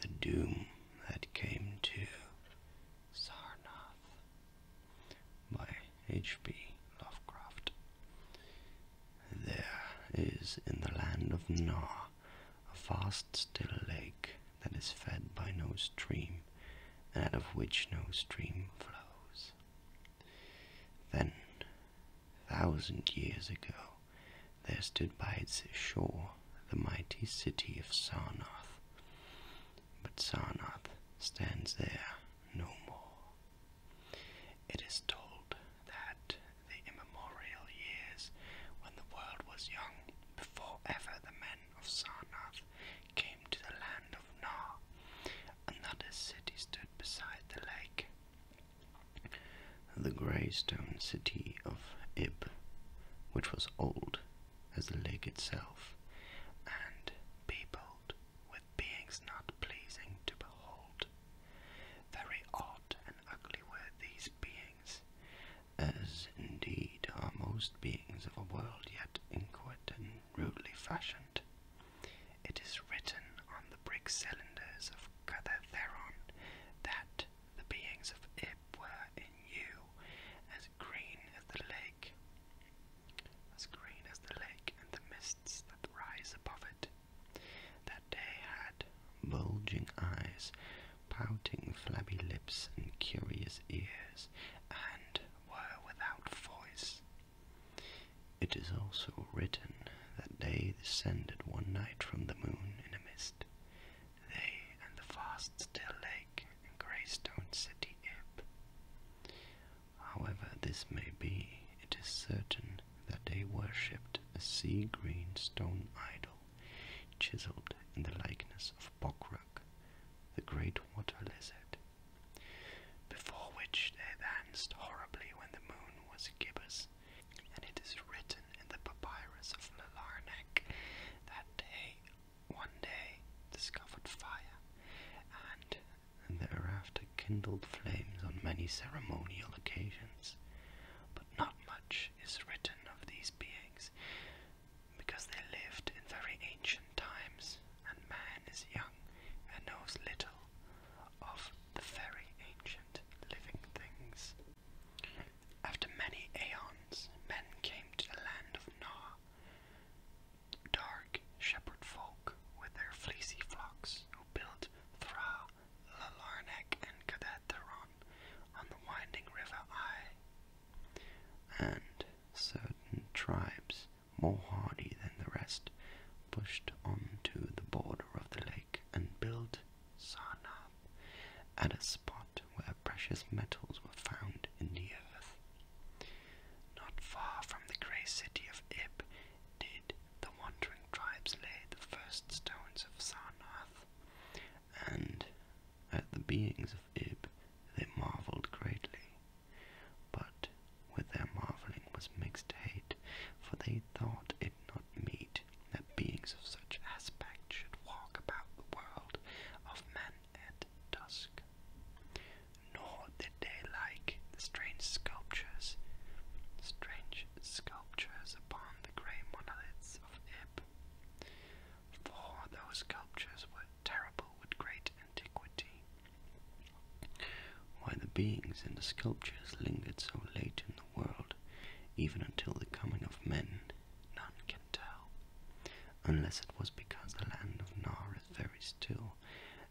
the doom that came to Sarnoth. by H.P. Lovecraft. There is in the land of Nar a vast still lake that is fed by no stream, and out of which no stream flows. Then, thousand years ago, there stood by its shore the mighty city of Sarnath. But Sarnath stands there no more. It is told that the immemorial years when the world was young, before ever the men of Sarnath came to the land of Nar, another city stood beside the lake the grey stone city of Ib, which was old as the lake itself, and peopled with beings not pleasing to behold. Very odd and ugly were these beings, as indeed are most beings of a world yet inquit and rudely fashioned. It is written on the brick cylinders of Cadatheron that the beings of Ib were in you as green as the lake, as green as the lake and the mists that rise above it. That day had bulging eyes, pouting flabby lips, and curious ears, and were without voice. It is also written that they descended one night from the moon in a mist, they and the fast still lake and Greystone City However this may be, it is certain that they worshipped a sea-green stone idol chiseled in the likeness of Bokrok, the great water lizard, before which they danced horribly when the moon was gibbous and it is written in the papyrus of Melarnak that they one day discovered fire, and thereafter kindled flames on many ceremonial occasions. But not much is written of these beings, because they lived in very ancient times, and man is young and knows little of the very ancient living things. After many aeons, men came to the land of Noah, dark shepherd folk with their fleecy flocks, who built Thra, Lalarnek, and Kadatheron on the winding river Aye, And certain tribes, more hardy than the rest, pushed on to the border of the lake and build Sarnath at a spot where precious metals were found in the earth. Not far from the grey city of Ib did the wandering tribes lay the first stones of Sarnath, and at the beings of Ib they marvelled greatly. But with their marvelling was mixed hate, for they thought it not meet, that beings of such aspect should walk about the world of men at dusk. Nor did they like the strange sculptures, strange sculptures upon the grey monoliths of Ib, for those sculptures were terrible with great antiquity. Why the beings in the sculptures lingered so late in the world, even until the coming of men, none can tell, unless it was because the land of Nar is very still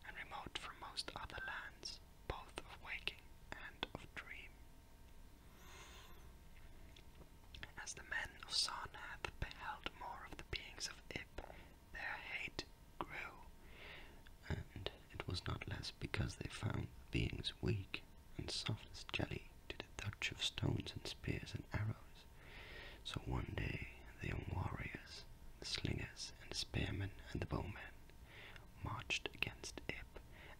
and remote from most other lands, both of waking and of dream. As the men of Sarn hath beheld more of the beings of Ib, their hate grew, and it was not less because they found the beings weak and soft as jelly to the touch of stones and spears and arrows. So one day the young warriors, the slingers and the spearmen and the bowmen, marched against Ib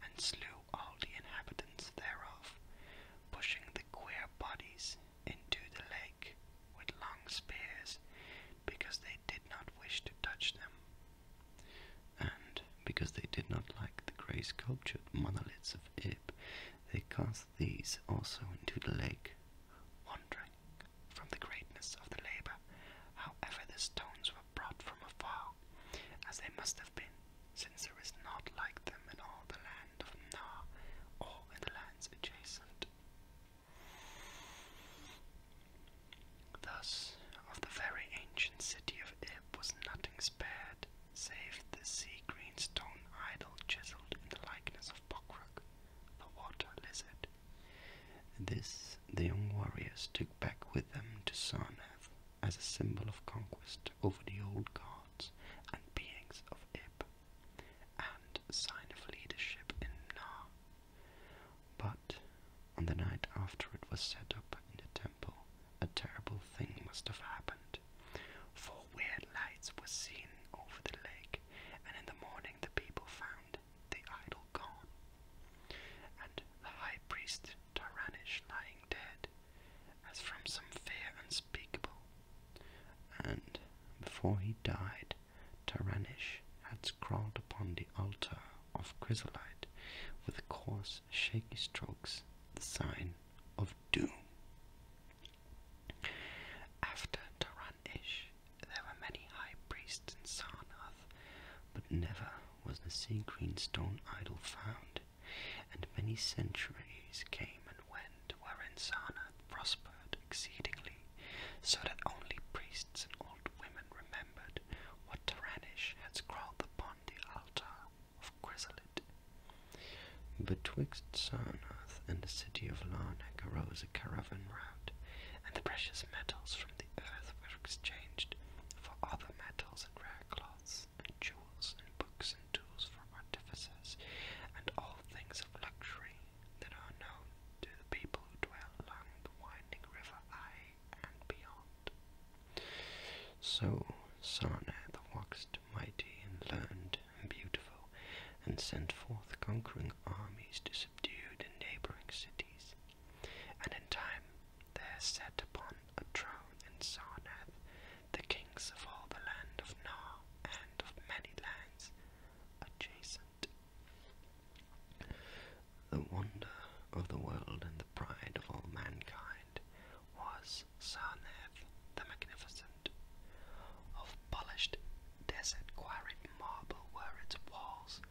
and slew all the inhabitants thereof, pushing the queer bodies into the lake with long spears because they did not wish to touch them. And because they did not like the grey sculptured monoliths of Ib, they cast these also into the lake, Wondering from the greatness of the labour. However, the stones were brought from afar, as they must have been, since there is not like them in all the land of Nar or in the lands adjacent. Thus, of the very ancient city of Ib was nothing spared, save the sea-green stone idol chiseled in the likeness of Bokrook, the water lizard. This the young warriors took back with them to Sarnath as a symbol of conquest over the old gods and beings of Ib, and sign of leadership in Mnar. But on the night after it was set up in the temple, a terrible thing must have happened, for weird lights were seen over the lake, and in the morning the people found the idol gone, and the high priest Taranish lying dead, as from some fear unspeakable. And before he died, Taranish had scrawled upon the altar of chrysolite with coarse shaky strokes the sign of doom. After taran there were many high priests in Sarnath, but never was the sea green stone idol found, and many centuries came and went wherein Sarnath prospered exceedingly, so that only priests and old women remembered what Taranish had scrawled upon the altar of Quiselit. Betwixt Sarnath and the city of Larnak arose a caravan route, and the precious metals from the earth were exchanged for other metals and rare cloths, and jewels, and books, and tools for artificers, and all things of luxury that are known to the people who dwell along the winding river Eye and beyond. So Sarna the waxed mighty and learned and beautiful, and sent forth conquering armies to subdue the neighboring cities. And in time there sat upon a throne in Sarnath the kings of all the land of Nar and of many lands adjacent. The wonder of the world and the pride of all mankind was Sarnaev the Magnificent. Of polished desert quarried marble were its walls,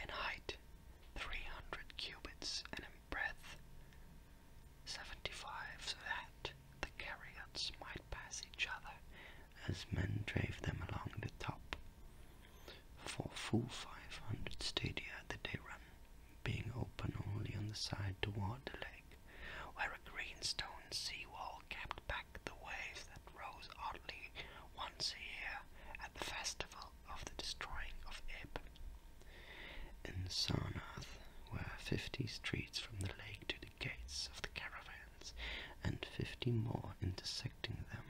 in height three hundred cubits and in breadth seventy-five, so that the chariots might pass each other as men drave them along the top. For full five hundred stadia did they run, being open only on the side toward the lake, where a green stone seawall kept back the waves that rose oddly once a year at the festival of the destroying of Ib. In Sarnath were fifty streets from the lake to the gates of the caravans, and fifty more intersecting them.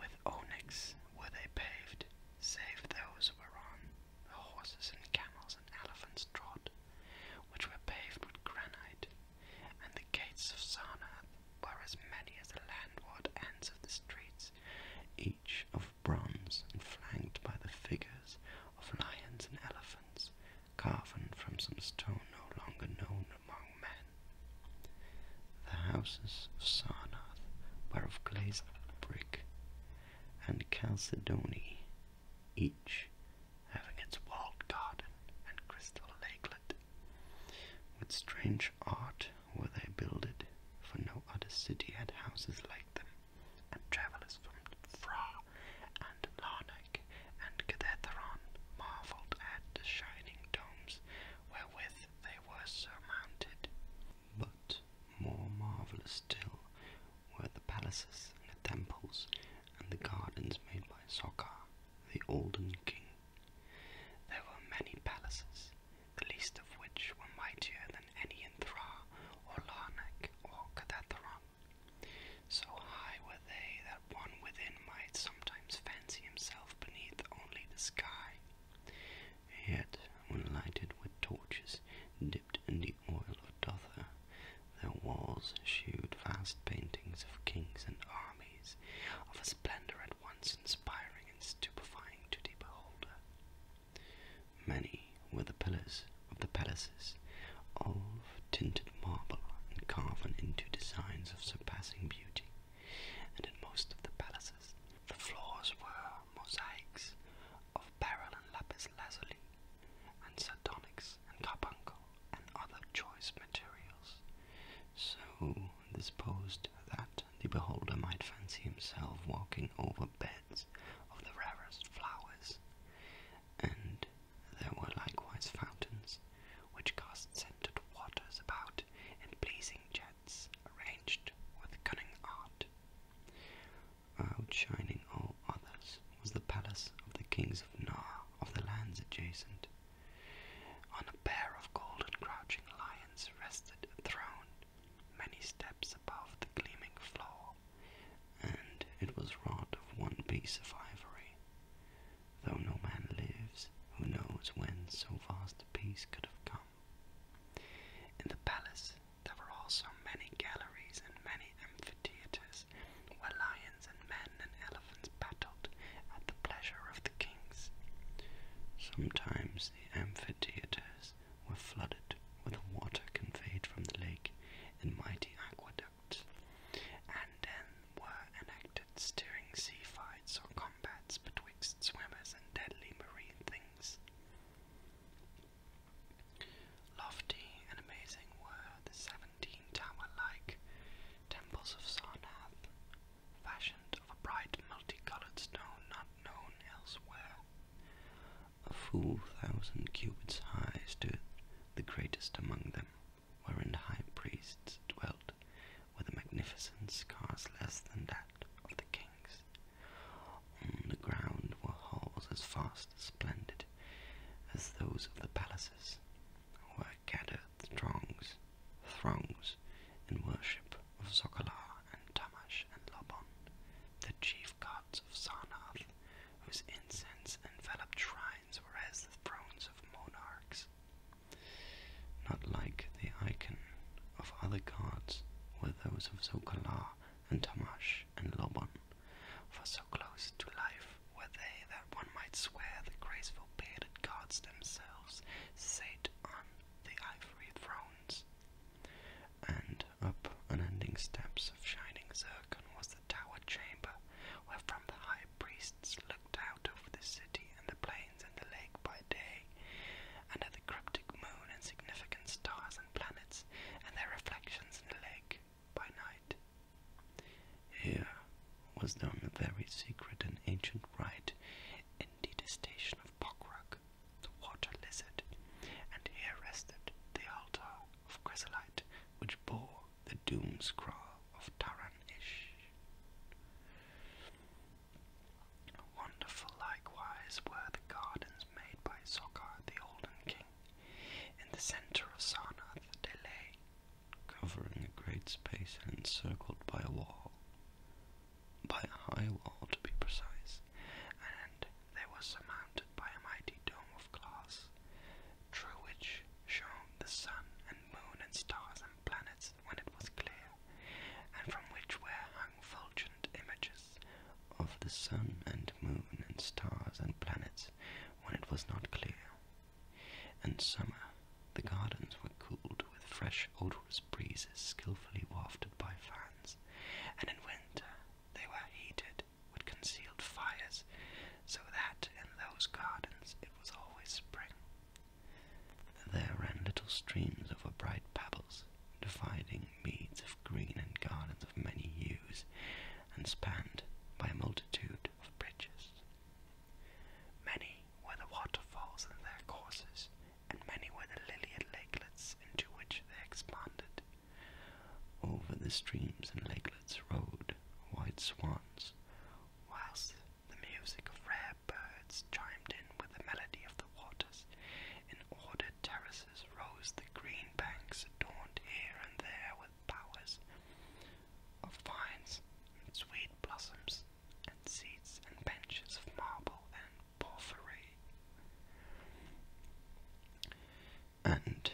With onyx were they paved, save those whereon horses and camels and elephants trod, which were paved with granite, and the gates of Sarnath were as many as the landward ends of the streets, each of bronze and flanked by the figures of lions and elephants, carven from some stone no longer known among men. The houses of Sarnath were of glazed brick, and Chalcedony, each having its walled garden and crystal lakelet. With strange art were they builded, for no other city had houses like them, and travellers from Fra and Larnac and Cathetheron marvelled at the shining domes wherewith they were surmounted. But more marvelous still were the palaces and the temples and the gardens made by Sokar, the olden king. There were many palaces, the least of which were mightier than any in Thra or Larnac or Cadatharon. So high were they that one within might sometimes fancy himself beneath only the sky. Yet, when lighted with torches in the oil of dother. Their walls shewed vast paintings of kings and armies, of a splendor at once inspiring and stupefying to the beholder. Many were the pillars of the palaces, all of tinted marble and carven into designs of surpassing beauty, and in most of the palaces the floors were mosaics of beryl and lapis lazuli, and sardonyx and carbuncle and other choice materials. So disposed that the beholder might fancy himself walking over beds of the rarest flowers. And there were likewise fountains, which cast scented waters about in pleasing jets arranged with cunning art. Outshining all others was the palace of the kings of Nar of the lands adjacent. On a pair of golden crouching lions rested a throne, many steps above the gleaming floor, and it was wrought of one piece of ivory. Though no man lives, who knows when so vast a piece could have come. In the palace there were also many galleries and many amphitheatres where lions and men and elephants battled at the pleasure of the kings. Sometimes the amphitheatres were flooded with water conveyed from the lake in mighty aqueducts, and then were enacted stirring sea fights or combats betwixt swimmers and deadly marine things. Lofty and amazing were the seventeen tower like temples of Sarnath, fashioned of a bright multicolored stone not known elsewhere. A full thousand cubits high stood the greatest among them, wherein high priests dwelt with a magnificence scarce less than that of the kings, on mm, the ground were halls as vast and splendid as those of the palaces, where gathered throngs, throngs in worship of Sokolar and Tamash and Lobon, the chief gods of Sarnath, whose incense enveloped shrines were as the thrones of monarchs. Not like the icon of other gods were those of Zokalar and Tamash, and Laban, for so close to life were they that one might swear the graceful bearded gods themselves sate on the ivory thrones. And up unending steps of shining zircon was the tower chamber, where from the high priests looked out over the city and the plains and the lake by day, and at the cryptic moon and significant stars and planets, and their reflections in the lake by night. Here was done a very secret and ancient rite in detestation of Pokrok, the water lizard, and here rested the altar of Chrysolite, which bore the doom scroll of Taran-ish. Wonderful likewise were the gardens made by Sokar the Olden King. In the center of Sarnath the delay, covering a great space and encircled by a wall, by a high wall to be precise, and they were surmounted by a mighty dome of glass, through which shone the sun and moon and stars and planets when it was clear, and from which were hung fulgent images of the sun and moon and stars and planets when it was not clear. In summer, the gardens were cooled with fresh odorous breezes skilfully wafted by fans, and in winter they were heated with concealed fires, so that in those gardens it was always spring. There ran little streams over bright pebbles, dividing meads of green and gardens of many hues, and spanned by a multitude of bridges. Many were the waterfalls in their courses, and many were the lilied lakelets into which they expanded. Over the streams and lakelets rode white swans, whilst the music of rare birds chimed in with the melody of the waters in ordered terraces terraces rose the green banks adorned here and there with bowers of vines and sweet blossoms and seats and benches of marble and porphyry. And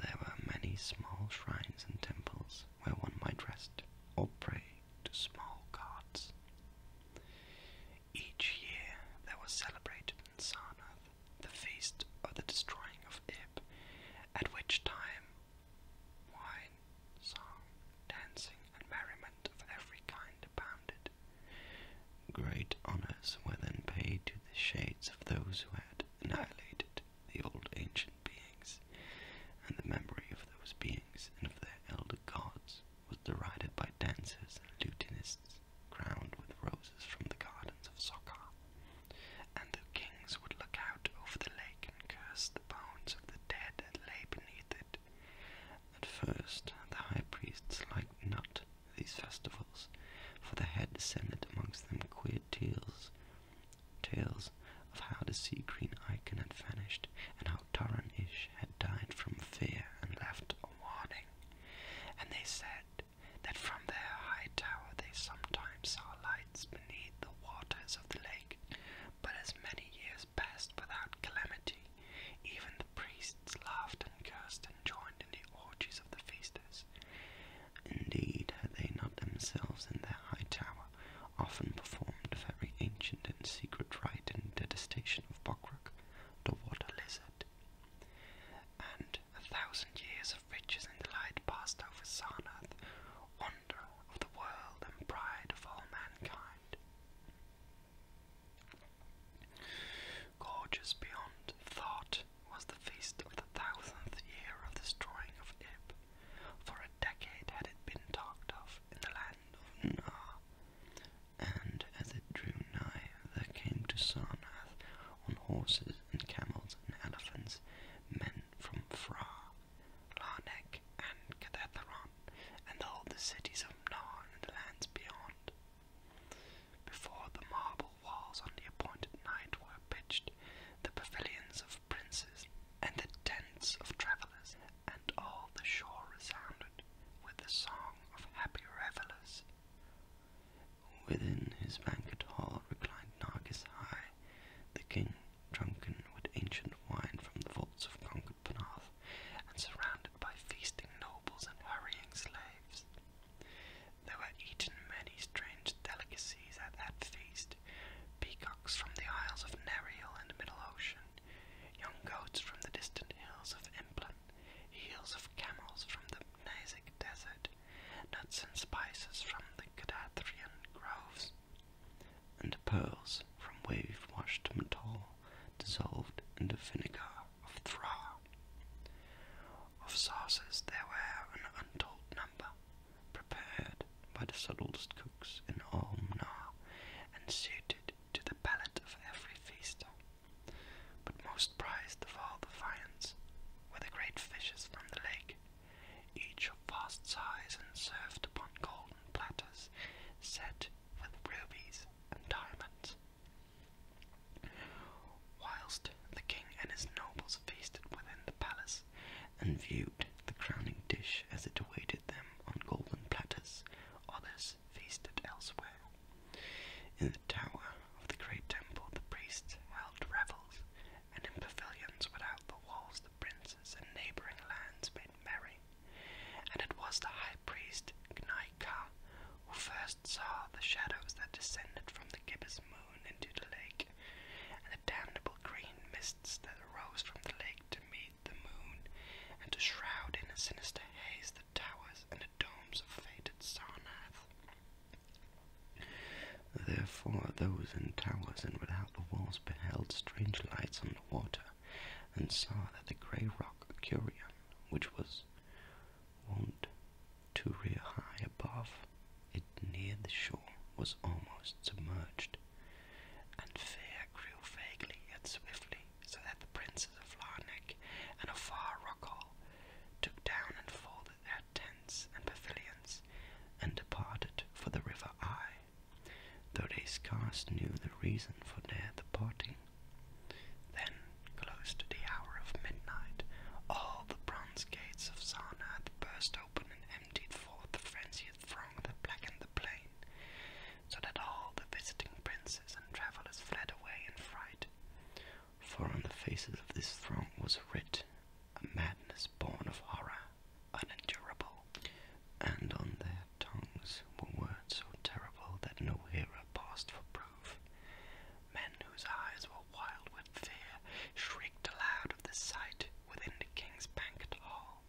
there were many small shrines and temples where one might rest or pray to small gods. Each year there was celebrated in Sarna the feast of the destroying of Ib, at which time wine, song, dancing, and merriment of every kind abounded. Great honours were then paid to the shades of those who had annihilated the old ancient beings, and the memory of those beings and of their elder gods was derided by dancers and lutenists crowned with roses from the gardens of Sokar. And the kings would look out over the lake and curse the bones of the dead that lay beneath it. At first, the high priests liked not these festivals, for they had descended amongst them queer tales, tales of how the sea green icon had vanished, and how Taran had died from fear and left a warning. And they said that from their high tower they sometimes saw lights beneath the waters of the lake, but as many years passed without calamity, even the priests laughed and cursed and joined in the orgies of the feasters. Indeed, had they not themselves in their high tower often performed a very ancient and secret rite in detestation of Bokrug, the water lizard, and a thousand years of riches and delight passed over Sarnath, wonder of the world and pride of all mankind. Gorgeous beyond thought was the feast of the thousandth year of the destroying of Ib. For a decade had it been talked of in the land of Nar, and as it drew nigh there came to Sarnath on horses and camels and elephants, men from Phra, Larnac, and Cathetheron, and all the cities of Narn and the lands beyond. Before the marble walls on the appointed night were pitched, the pavilions of princes, and the tents of travellers, and all the shore resounded with the song of happy revellers. Within his banquet hall reclined Nargis High, the king, drunken with ancient wine from the vaults of conquered Panath, and surrounded by feasting nobles and hurrying slaves. There were eaten many strange delicacies at that feast, peacocks from the isles of Nereal and Middle Ocean, young goats from the distant hills of Emplin, heels of camels from the Nazic desert, nuts and spices from the Cadathrian groves, and pearls from wave-washed metal dissolved in the vinegar of Thra. Of sauces there were an untold number, prepared by the subtlest cooks in all Ormnar, and suited to the palate of every feast. But most prized of all the viands were the great fishes from the lake, each of vast size and served upon golden platters set with rubies and diamonds. Whilst the king and his nobles feasted within the palace and viewed the crowning dish as it awaited them on golden platters, others feasted elsewhere. In the tower of the great temple, the priests held revels, and in pavilions without the walls, the princes and neighboring lands made merry. And it was the high priest Gnaika who first saw the shadows that descended from the gibbous moon into the lake, and the damnable green mists that arose from the lake to meet the moon, and to shroud in a sinister haze the towers and the domes of fated Sarnath. Therefore those in towers and without the walls beheld strange lights on the water, and saw that the grey rock Curion, which was wont to rear high above it near the shore, was almost submerged, and fear grew vaguely yet swiftly, so that the princes of Larnac and of Far Rockall took down and fore their tents and pavilions and departed for the river Eye, though they scarce knew the reason for their departing. Then, close to the hour of midnight, all the bronze gates of Sarnath burst open and emptied forth the frenzied throng that blackened the plain, so that all the visiting princes and travellers fled away in fright for on the faces of this throng was writ a madness born of horror, unendurable, and on their tongues were words so terrible that no hearer passed for proof. Men whose eyes were wild with fear shrieked aloud of the sight within the king's banquet hall,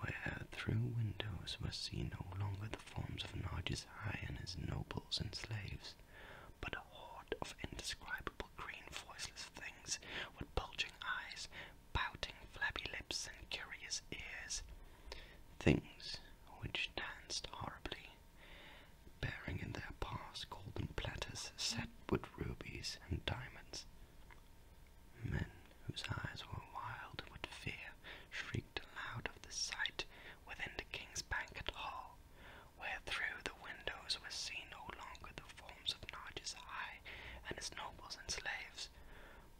where through windows were seen no longer the forms of Narges High and his nobles and slaves, but a horde of indescribable green voiceless things with bulging eyes, pouting flabby lips, and curious ears. Things which danced horribly, bearing in their paws golden platters set with rubies and diamonds. Men whose eyes were wild with fear shrieked aloud of the sight within the king's banquet hall, where through the windows was seen no longer the forms of Narges eye and his nobles and slaves,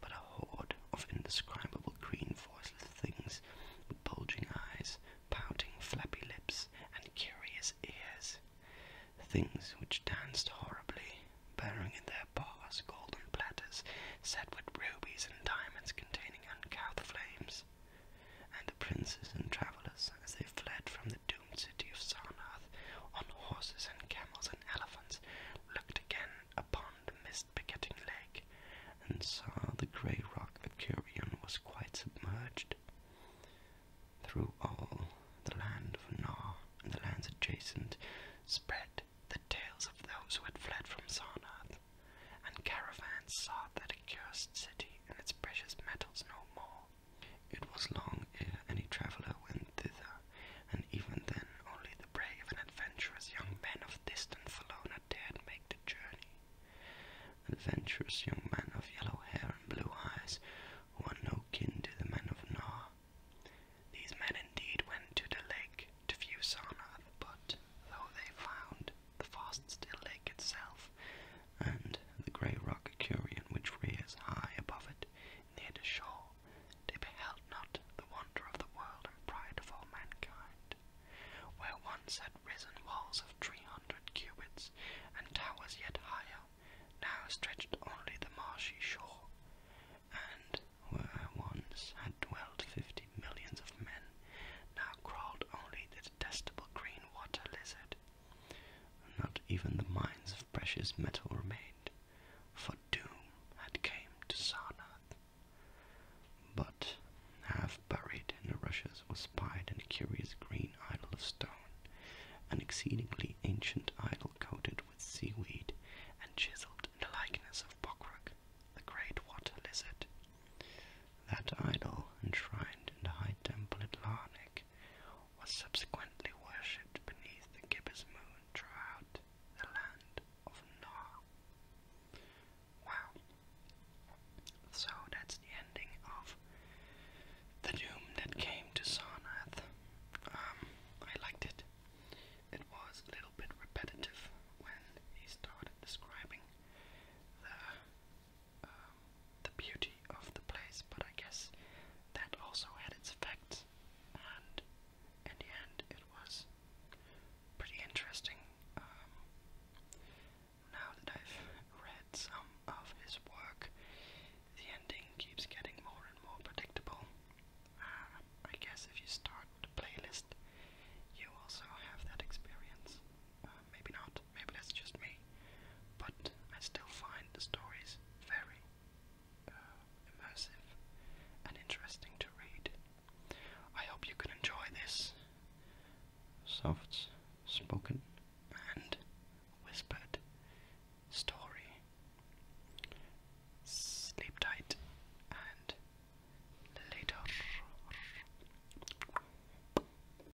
but a horde of indescribable green voiceless things with bulging eyes, pouting flappy lips, and curious ears. Things which danced horribly, bearing in their bars golden platters set with rubies and diamonds containing uncouth flames and the princes and travellers as they fled from the doomed city of Sarnath on horses and camels and elephants looked again upon the mist-begetting lake and saw the grey rock of Curion was quite submerged. Through all the land of Nar and the lands adjacent spread the tales of those who had fled from Sarnath, and caravans sought that accursed city and its precious metals no more. It was long ere any traveller went thither, and even then only the brave and adventurous young men of distant Valona dared make the journey. Adventurous young men of yellow hair and blue eyes, who are no kin to the men of Nar. These men indeed went to the lake to view Sarnath, but though they found the vast, still lake itself, and the grey rock Curian which rears high above it near the shore, they beheld not the wonder of the world and pride of all mankind, where once had risen walls of three hundred cubits, and towers yet higher, now stretched only the marshy shore, and where once had dwelt fifty millions of men, now crawled only the detestable green water lizard, not even the mines of precious metal remained, for doom had came to Sarnath. But half buried in the rushes was spied a curious green idol of stone, an exceedingly ancient idol coated with seaweed and chiseled in the likeness of Bokrug, the great water lizard. That idol, enshrined in the high temple at Larnak was subsequently worshipped beneath the gibbous moon throughout the land of Nar. Wow. So that's the ending of the doom that came to Sarnath. Um, I liked it. It was a little bit repetitive when he started describing the um, the beauty of the place, but I guess that also had its effects, and in the end, it was pretty interesting. Um, now that I've read some of his work, the ending keeps getting more and more predictable. Uh, I guess if you start with playlist, you also have that experience. Um, maybe not, maybe that's just me, but I still find the stories very uh, immersive and interesting to read. I hope you can enjoy this soft spoken and whispered story. Sleep tight and later.